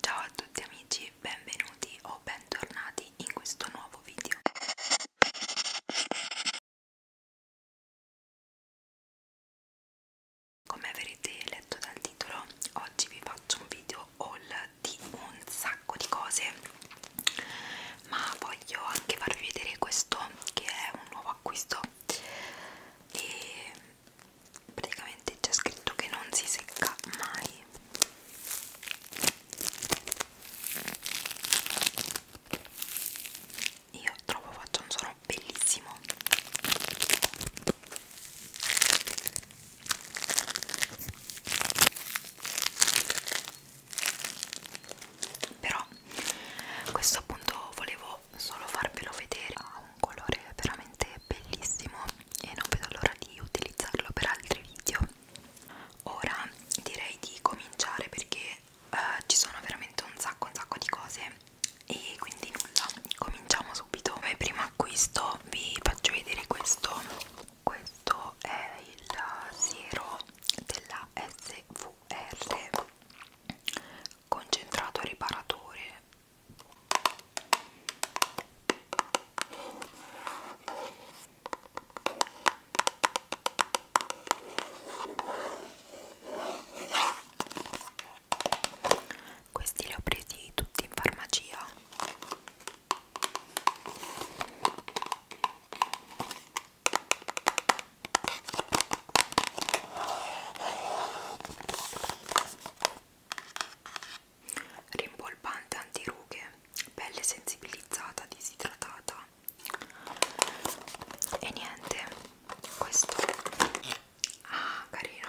Ciao a tutti amici, benvenuti o bentornati in questo nuovo video. Come avrete letto dal titolo, oggi vi faccio un video haul di un sacco di cose, ma voglio anche farvi vedere questo che è un nuovo acquisto e praticamente c'è scritto che non si secca mai io trovo faccia un suono bellissimo però questo appunto volevo solo farvelo vedere ha un colore veramente bellissimo e non vedo l'ora di utilizzarlo per altri video ora direi di cominciare perché uh, ci sono veramente un sacco un sacco di cose e quindi nulla cominciamo subito come primo acquisto vi faccio vedere questo questo è il siero della svr concentrato riparatore questi li ho presi tutti in farmacia rimpolpante antirughe, pelle sensibilizzata, disidratata e niente, questo ah carino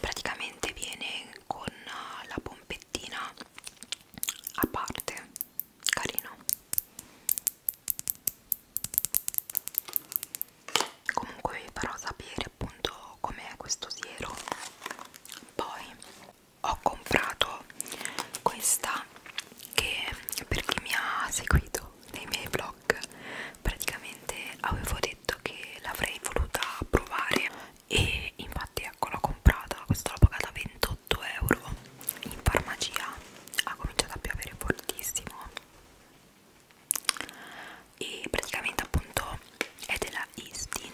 praticamente viene con la pompettina a parte carino comunque vi farò sapere appunto com'è questo siero poi ho comprato questa che per chi mi ha seguito nei miei vlog praticamente avevo detto che l'avrei voluta provare e infatti ecco l'ho comprata questa l'ho pagata 28 euro in farmacia ha cominciato a piovere fortissimo e praticamente appunto è della Istin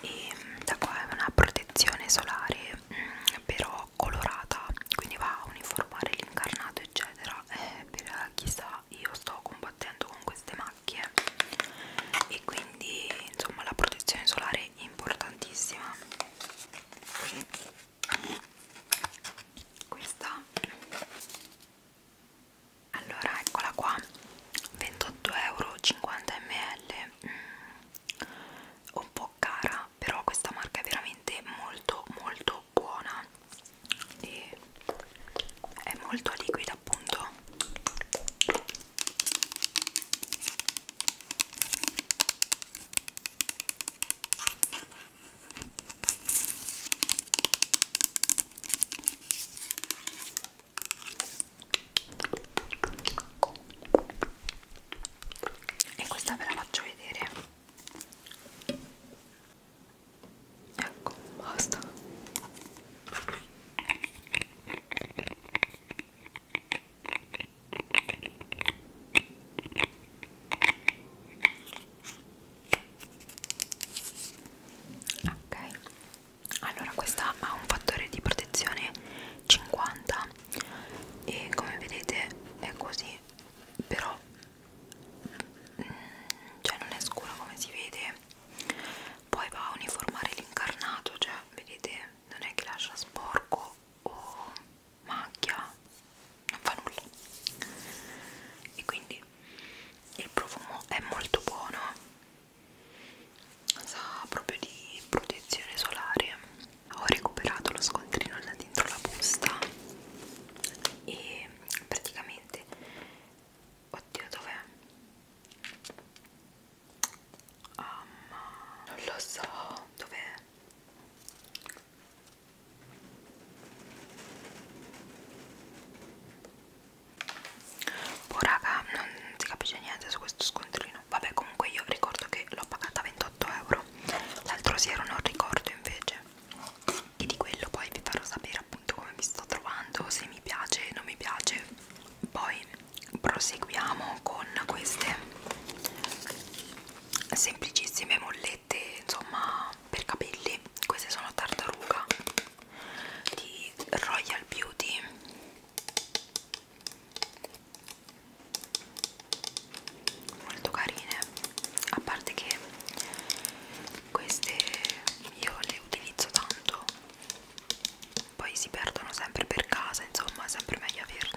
e mm, da qua è una protezione solare mm, però colorata quindi va a uniformare l'incarnato eccetera eh, per chissà io sto combattendo con queste macchie e quindi insomma la protezione solare è importantissima questa allora eccola qua 28,50 euro 50 ml mm, un po' cara però questa marca è veramente molto molto buona e è molto liquida appunto e questa ve la faccio vedere ecco basta ok allora questa ha un fattore di protezione 50 e come vedete è così però mm, cioè non è scuro come si vede poi va a uniformare l'incarnato cioè vedete non è che lascia sporco o macchia non fa nulla e quindi il profumo è molto buono sa proprio di protezione solare ho recuperato lo scontrino là dentro la busta e praticamente oddio dov'è? Um, non lo so dov'è Oh raga, non si capisce niente su questo scontrino. Vabbè, comunque io ricordo che l'ho pagata 28 euro. L'altro sera non ricordo invece. E di quello poi vi farò sapere appunto come mi sto trovando, se mi piace, non mi piace. Poi proseguiamo con queste semplicissime mollette, insomma, per capelli. Queste sono tartaruga di Royal Beauty molto carine a parte che queste io le utilizzo tanto poi si perdono sempre per casa insomma è sempre meglio averne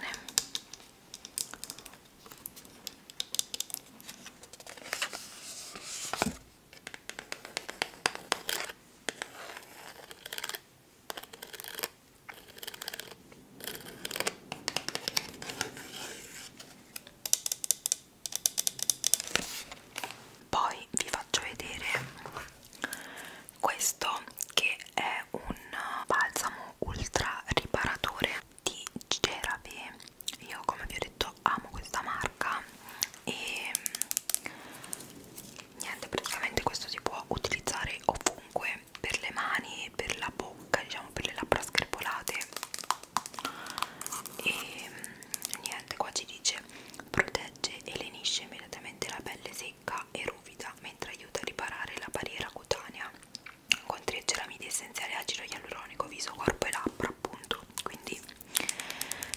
poi vi faccio vedere questo che è un balsamo ultra riparatore di Cerave. Io, come vi ho detto, amo questa marca bianca e mm, niente praticamente questo si può utilizzare ovunque per le mani per la bocca diciamo per le labbra scherpolate e mm, niente qua ci dice protegge e lenisce immediatamente la pelle secca e ruvida mentre aiuta a riparare la barriera cutanea con tre ceramidi essenziali acido ialuronico viso corpo e labbra appunto quindi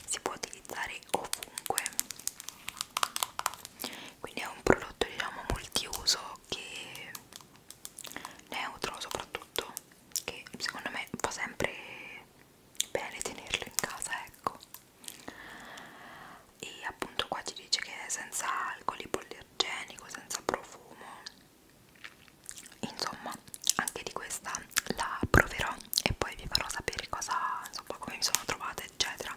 si può utilizzare ovunque quindi è un prodotto diciamo multiuso che neutro soprattutto che secondo me fa sempre bene tenerlo in casa ecco e appunto qua ci dice che è senza alcol, poliogenico, senza profumo insomma anche di questa la proverò e poi vi farò sapere cosa insomma come mi sono trovata eccetera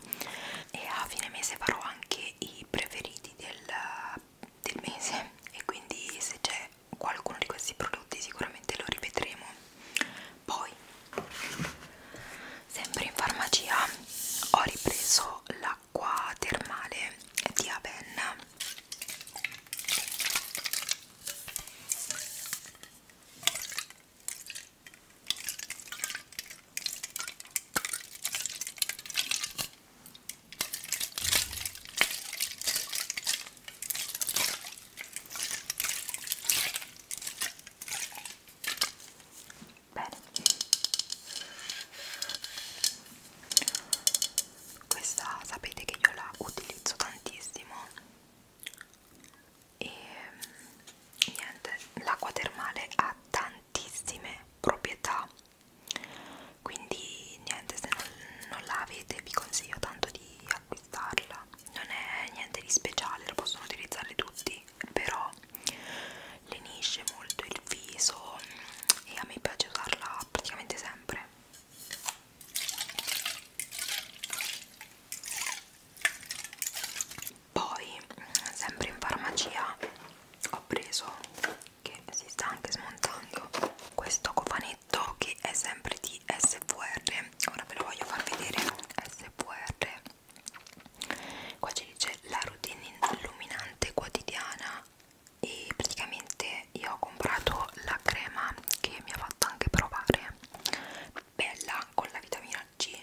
e a fine mese farò anche i preferiti del, del mese e quindi se c'è qualcuno di questi prodotti sicuramente lo rivedremo poi sempre in farmacia ho ripreso l'acqua termale di Avenna Bene. Questa sapete che io la utilizzo tantissimo e niente l'acqua termale ha tantissime proprietà quindi niente se non, non la avete vi consiglio tanto di acquistarla non è niente di speciale lo possono utilizzare tutti però lenisce molto il viso e a me piace usarla praticamente sempre poi sempre in farmacia ho preso che si sta anche smontando questo cofanetto che è sempre di SVR ora ve lo voglio far vedere SVR qua ci dice la routine illuminante quotidiana e praticamente io ho comprato la crema che mi ha fatto anche provare bella con la vitamina C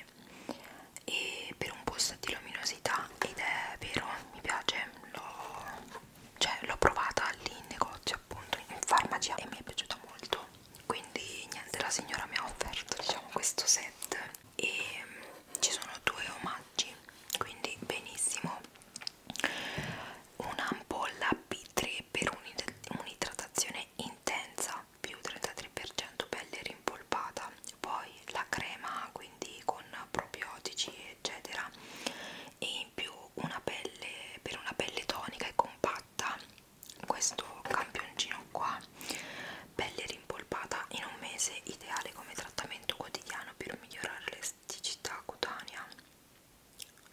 e per un boost di luminosità ed è vero mi piace l'ho cioè, provata lì in negozio appunto in farmacia e mi è piaciuta molto quindi niente la signora mi ha offerto diciamo questo set e mm, ci sono due omaggi quindi benissimo un'ampolla B3 per un'idratazione intensa più 33% pelle rimpolpata poi la crema quindi con probiotici eccetera e in più una pelle per una pelle tonica e compatta questo campioncino qua pelle rimpolpata in un mese ideale come trattamento quotidiano per migliorare l'esticità cutanea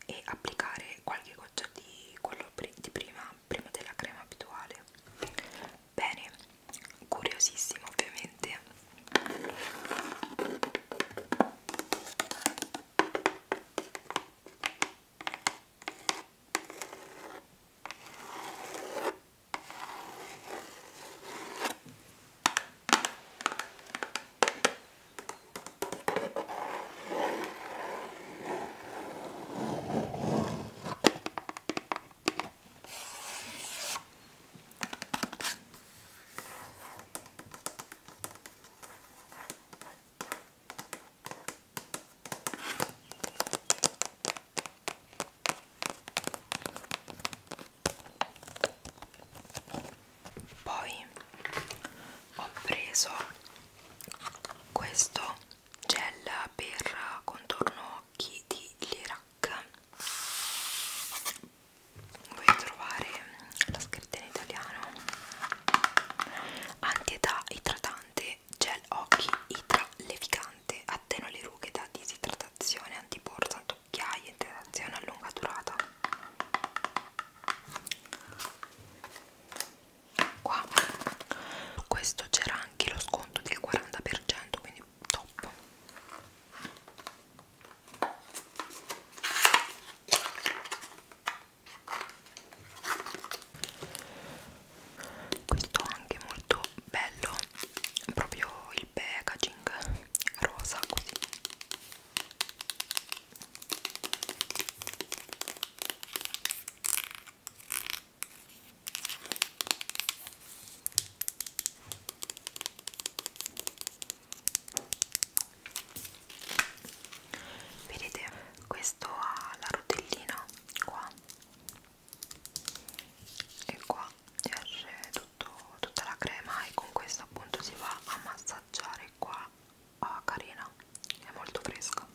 e applicare qualche goccia di quello di prima crema prima della crema abituale bene curiosissimo ovviamente poi ho preso questo gel per contorno occhi di Lirac Vuoi trovare la scritta in italiano Antietà idratante gel occhi idra levicante Attenua le rughe da disidratazione antiborsa tocchiaia idratazione a lunga durata qua su questo c'era anche lo sconto del 40% quindi top questo anche molto bello proprio il packaging rosa così Vedete, questo ha la rotellina qua e qua esce tutto, tutta la crema e con questo appunto si va a massaggiare qua. Ah, carina, è molto fresca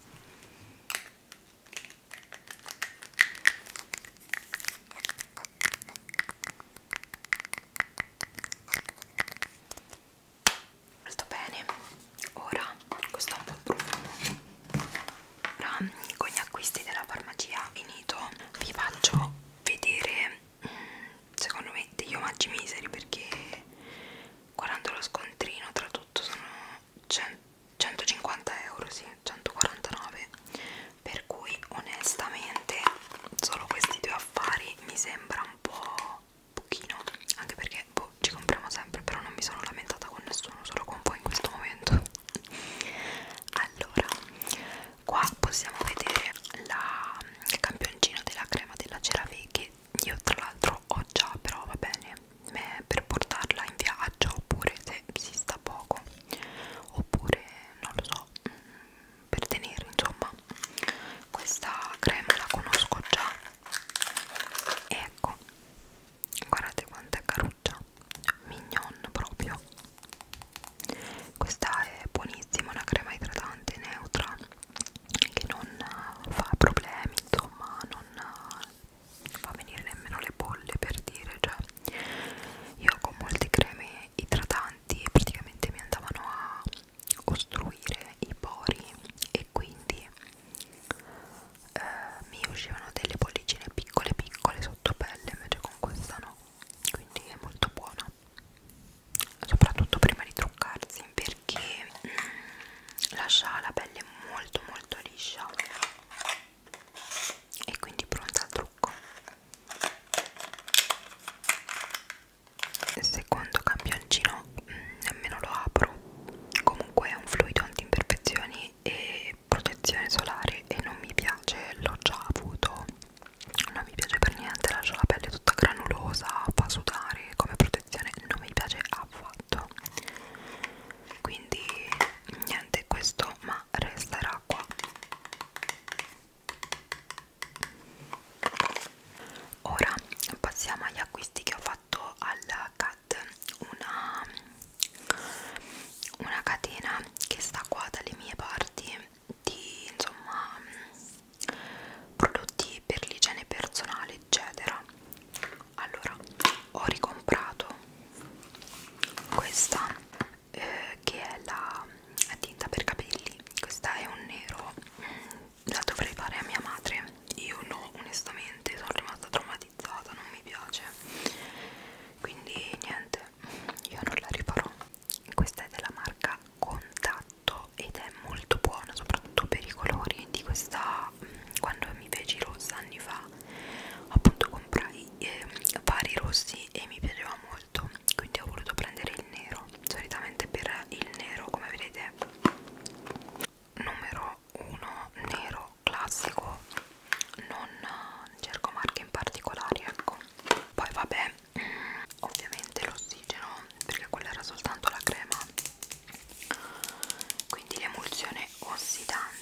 molto bene ora questo è un po' profumo ora con gli acquisti della farmacia finito vi faccio vedere mm, secondo me degli omaggi miseri perché guardando lo scontrino tra tutto sono 100 150 euro sì 149 per cui onestamente solo questi due affari mi sembra un po' pochino anche perché boh, ci compriamo sempre però non mi sono lamentata con nessuno solo con voi in questo momento allora qua possiamo vedere la campioncina della crema della cerave che io tra l'altro ho già però va bene eh, per portarla in viaggio oppure se si sta poco oppure non lo so mm, per tenere insomma questa crema la conosco già ecco guardate quanto è caruccia mignon proprio questa è buonissima una crema idratante neutra che non fa problemi insomma non fa venire nemmeno le bolle per dire cioè io con molte creme idratanti praticamente mi andavano a ostruire i pori e quindi eh, mi uscivano delle bollicine piccole piccole sotto pelle invece con questa no quindi è molto buona soprattutto prima di truccarsi perché mm, lascia la pelle molto molto liscia e quindi pronta al trucco secondo campioncino mm, nemmeno lo apro comunque è un fluido anti imperfezioni e protezione solare e non mi piace l'ho già avuto non mi piace per niente lascio la pelle tutta granulosa fa sudare come protezione non mi piace affatto fatto quindi niente questo ma resterà qua ora passiamo agli acquisti che ho fatto al CAD una, una catena che sta qua dalle mie parti di insomma prodotti per l'igiene personale eccetera allora ho ricomprato questa eh, che è la tinta per capelli questa è un nero mm, la dovrei fare a mia madre io no onestamente sono rimasta traumatizzata non mi piace quindi niente io non la riparò questa è della marca contatto ed è molto buona soprattutto per i colori di questa mm, quando mi feci rossa anni fa appunto comprai eh, vari rossi e mi piaceva molto quindi ho voluto prendere il nero solitamente per il nero come vedete numero 1 nero classico non cerco marche in particolare ecco poi vabbè mm, ovviamente l'ossigeno perché quella era soltanto la crema quindi l'emulsione ossidante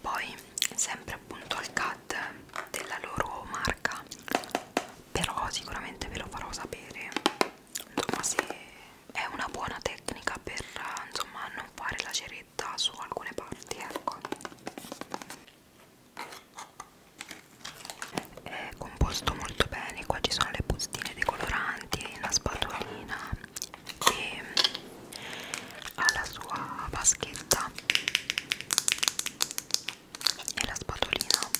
poi sempre appunto al CAD della loro marca però sicuramente ve lo farò sapere insomma se è una buona tecnica per insomma non fare la ceretta su alcune parti ecco è composto molto bene qua ci sono le bustine dei coloranti la spatolina e ha la sua vaschetta e la spatolina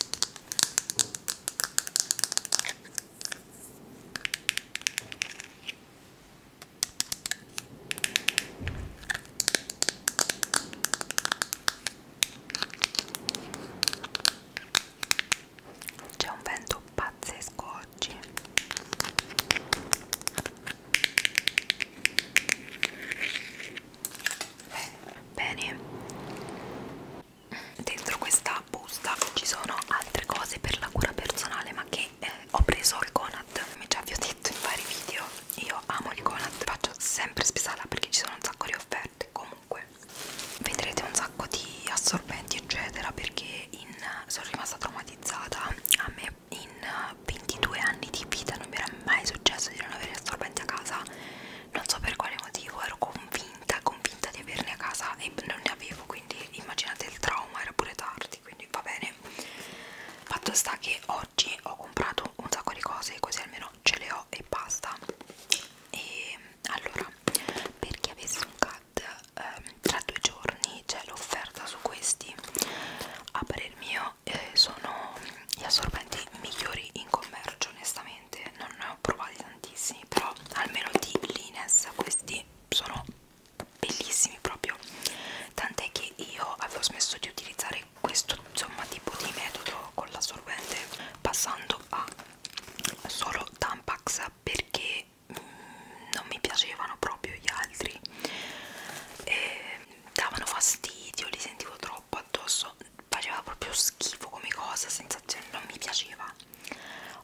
c'è un vento pazzesco oggi Bene, dentro questa busta ci sono altre cose per la cura personale, ma che eh, ho preso al Conad. Come già vi ho detto in vari video, io amo il Conad, faccio sempre spesala perché ci sono un sacco di offerte. Comunque, vedrete un sacco di assorbenti, eccetera, perché in, sono rimasta traumatizzata. A me in 22 eh, anni di vita non mi era mai successo di non avere assorbenti a casa non so per quale motivo ero convinta convinta di averne a casa e non ne avevo quindi immaginate il trauma era pure tardi quindi va bene fatto sta che oggi ho comprato un sacco di cose così almeno ce le ho e basta e allora per chi avesse un CAD ehm, tra due giorni c'è l'offerta su questi a parer mio eh, sono gli assorbenti migliori in commercio onestamente non ne ho provati tantissimi però almeno di Lines questi sono bellissimi proprio tant'è che io avevo smesso di utilizzare questo insomma tipo di metodo con l'assorbente passando a solo Tampax perché non mi piacevano proprio gli altri e davano fastidio, li sentivo troppo addosso, faceva proprio schifo come cosa, sensazione, cioè, non mi piaceva.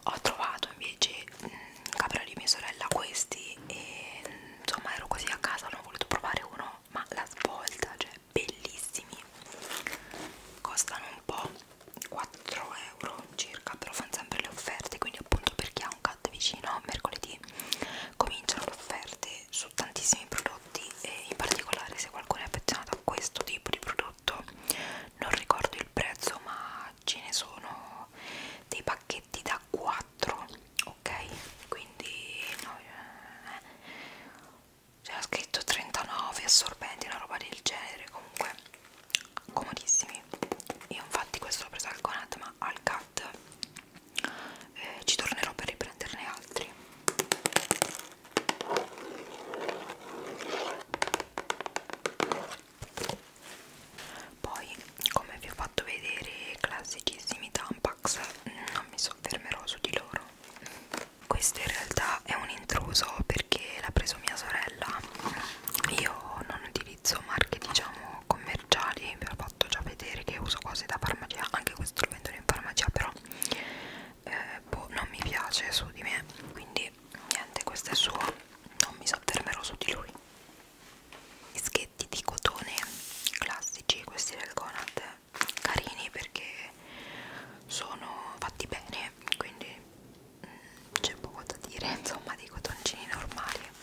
Ho trovato invece mh, mm, capello di mia sorella questi e insomma ero così a casa, non ho voluto provare uno, ma la svolta, cioè bellissimi, costano un po'. 4 euro circa però fanno sempre le offerte quindi appunto per chi ha un CAD vicino mercoledì cominciano le offerte su tantissimi prodotti e in particolare se qualcuno è affezionato a questo tipo di prodotto non ricordo il prezzo ma ce ne sono dei pacchetti da 4 ok quindi no, eh, c'era scritto 39 assorbenti una roba del genere comunque comodissimi io infatti questo l'ho preso al Conad ma al CAD eh, ci tornerò per riprenderne altri poi come vi ho fatto vedere classicissimi tampax non mi soffermerò su di loro questo in realtà è un intruso perché l'ha preso mia sorella io non utilizzo marche diciamo commerciali vi ho fatto già vedere che uso cose da farmacia anche questo lo vendono in farmacia però eh, boh, non mi piace su di me quindi niente questo è suo non mi sottermerò su di lui dischetti di cotone classici questi del Conad carini perché sono fatti bene quindi mm, c'è poco da dire insomma dei cotoncini normali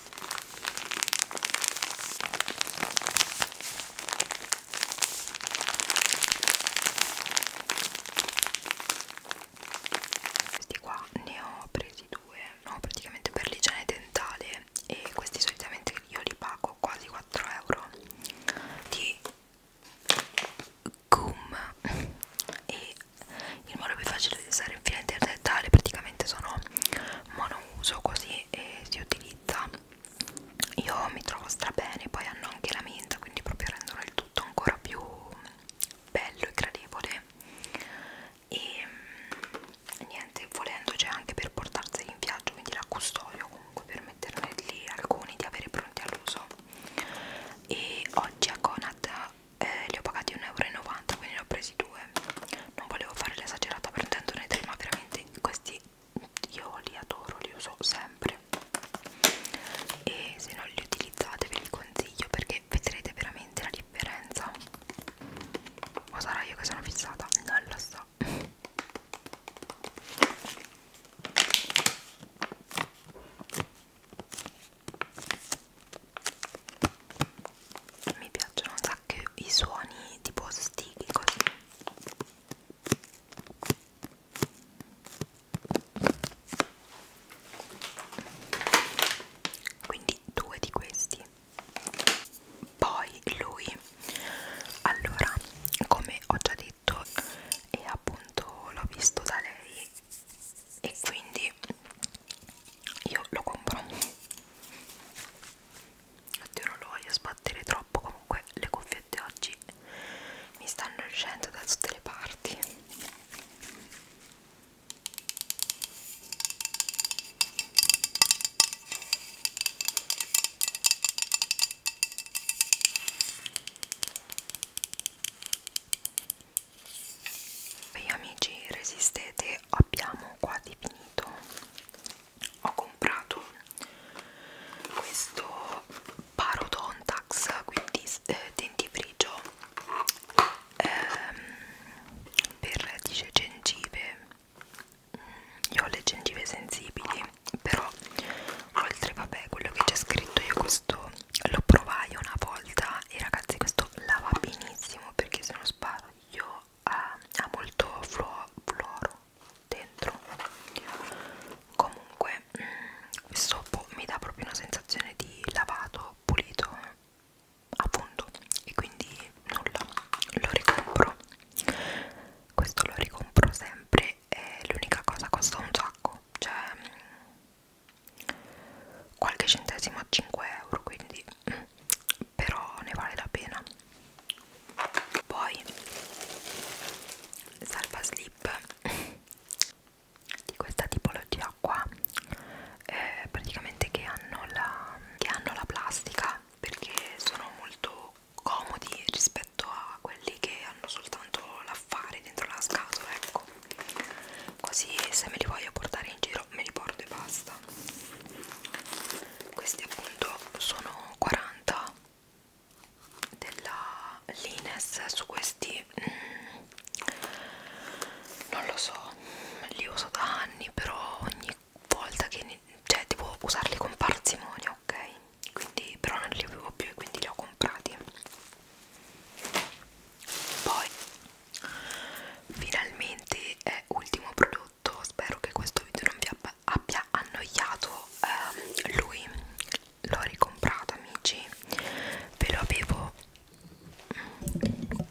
questi qua ne ho presi due, no, praticamente per l'igiene dentale e questi solitamente io li pago quasi 4 euro di gum e il modo più facile di usare il filo interdentale praticamente sono monouso così e si utilizza io mi trovo stra bene poi hanno anche la menta quindi proprio rendono il tutto ancora più bello e gradevole e mm, niente volendo c'è anche per portarseli in viaggio quindi la custodio comunque per metterne lì alcuni di avere pronti all'uso e oggi a Conad eh, li ho pagati 1,90 euro quindi ne ho presi quasi due non volevo fare l'esagerata prendendone tre ma veramente questi io li adoro li uso sempre e se non li utilizzate ve li consiglio perché vedrete veramente la differenza o sarà io che sono fissata non lo so mi piacciono un anche i suoni tipo stichi così quindi due di questi poi lui allora come ho già detto e appunto l'ho visto da lei e quindi io lo compro Oddio non lo voglio sbattere troppo Comunque le cuffiette oggi mi stanno uscendo da tutte le parti Beh amici resistete abbiamo quasi finito ho comprato questo parodontax quindi eh, dentifrigio ehm, per dice gengive mm, io ho le gengive sensibili però oltre vabbè quello che c'è scritto io questo lo provai una volta e ragazzi questo lava benissimo perché se non sbaglio ha, ha molto fluo, fluoro dentro comunque mm, questo mi dà proprio una sensazione di lavato pulito appunto e quindi nulla lo ricompro questo lo ricompro sempre e l'unica cosa costa un sacco cioè mm, qualche centesimo a 5 euro quindi mm, però ne vale la pena poi salva slip di questa tipologia qua eh, praticamente che hanno, la, che hanno la plastica perché sono molto comodi rispetto a quelli che hanno soltanto l'affare dentro la scatola ecco così se me li voglio portare in giro me li porto e basta questi appunto sono 40 della Lines su questi mm, non lo so li uso da anni però ogni volta che ne, cioè devo usarli con parsimonia ok quindi però non li avevo più e quindi li ho comprati poi finalmente è ultimo prodotto tutto spero che questo video non vi abbia annoiato eh, lui l'ho ricomprato amici ve lo avevo mm,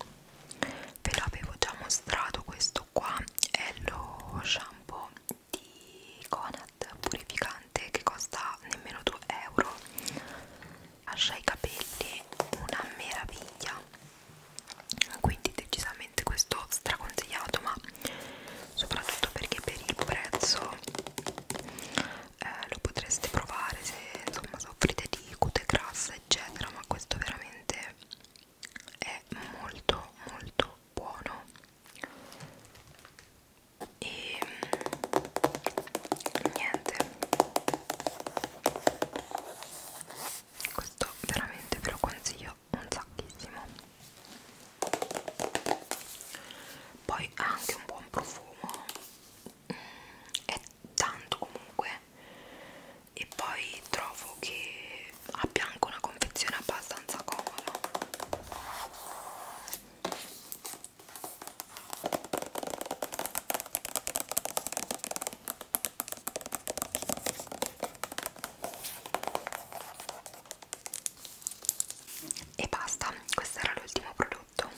ve lo avevo già mostrato questo qua è lo shampoo di Conat purificante che costa nemmeno 2 euro lascia i capelli una meraviglia quindi decisamente questo straconsigliato ma soprattutto perché per il prezzo eh, lo potreste provare se insomma soffrite di cute grassa eccetera ma questo veramente è molto molto buono e mm, niente questo veramente ve lo consiglio un sacchissimo poi ha anche un buon profumo mm, è tanto comunque e poi trovo che abbia anche una confezione abbastanza comoda e basta questo era l'ultimo prodotto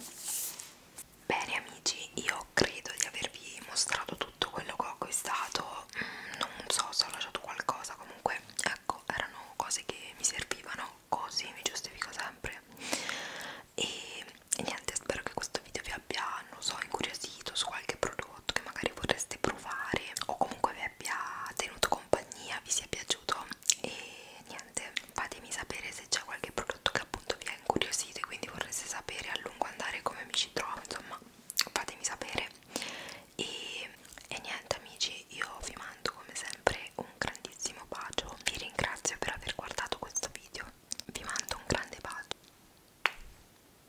bene amici io credo di avervi mostrato tutto quello che ho acquistato mm, non so se ho lasciato qualcosa comunque ecco erano cose che mi servivano così mi giustifico sempre e, e niente spero che questo video vi abbia abbia, non so, incuriosito su qualche prodotto che magari vorreste provare o comunque vi abbia tenuto compagnia, vi sia piaciuto e niente, fatemi sapere se c'è qualche prodotto che appunto vi ha incuriosito e quindi vorreste sapere a lungo andare come mi ci trovo, insomma fatemi sapere e, e niente amici, io vi mando come sempre un grandissimo bacio, vi ringrazio per aver guardato questo video, vi mando un grande bacio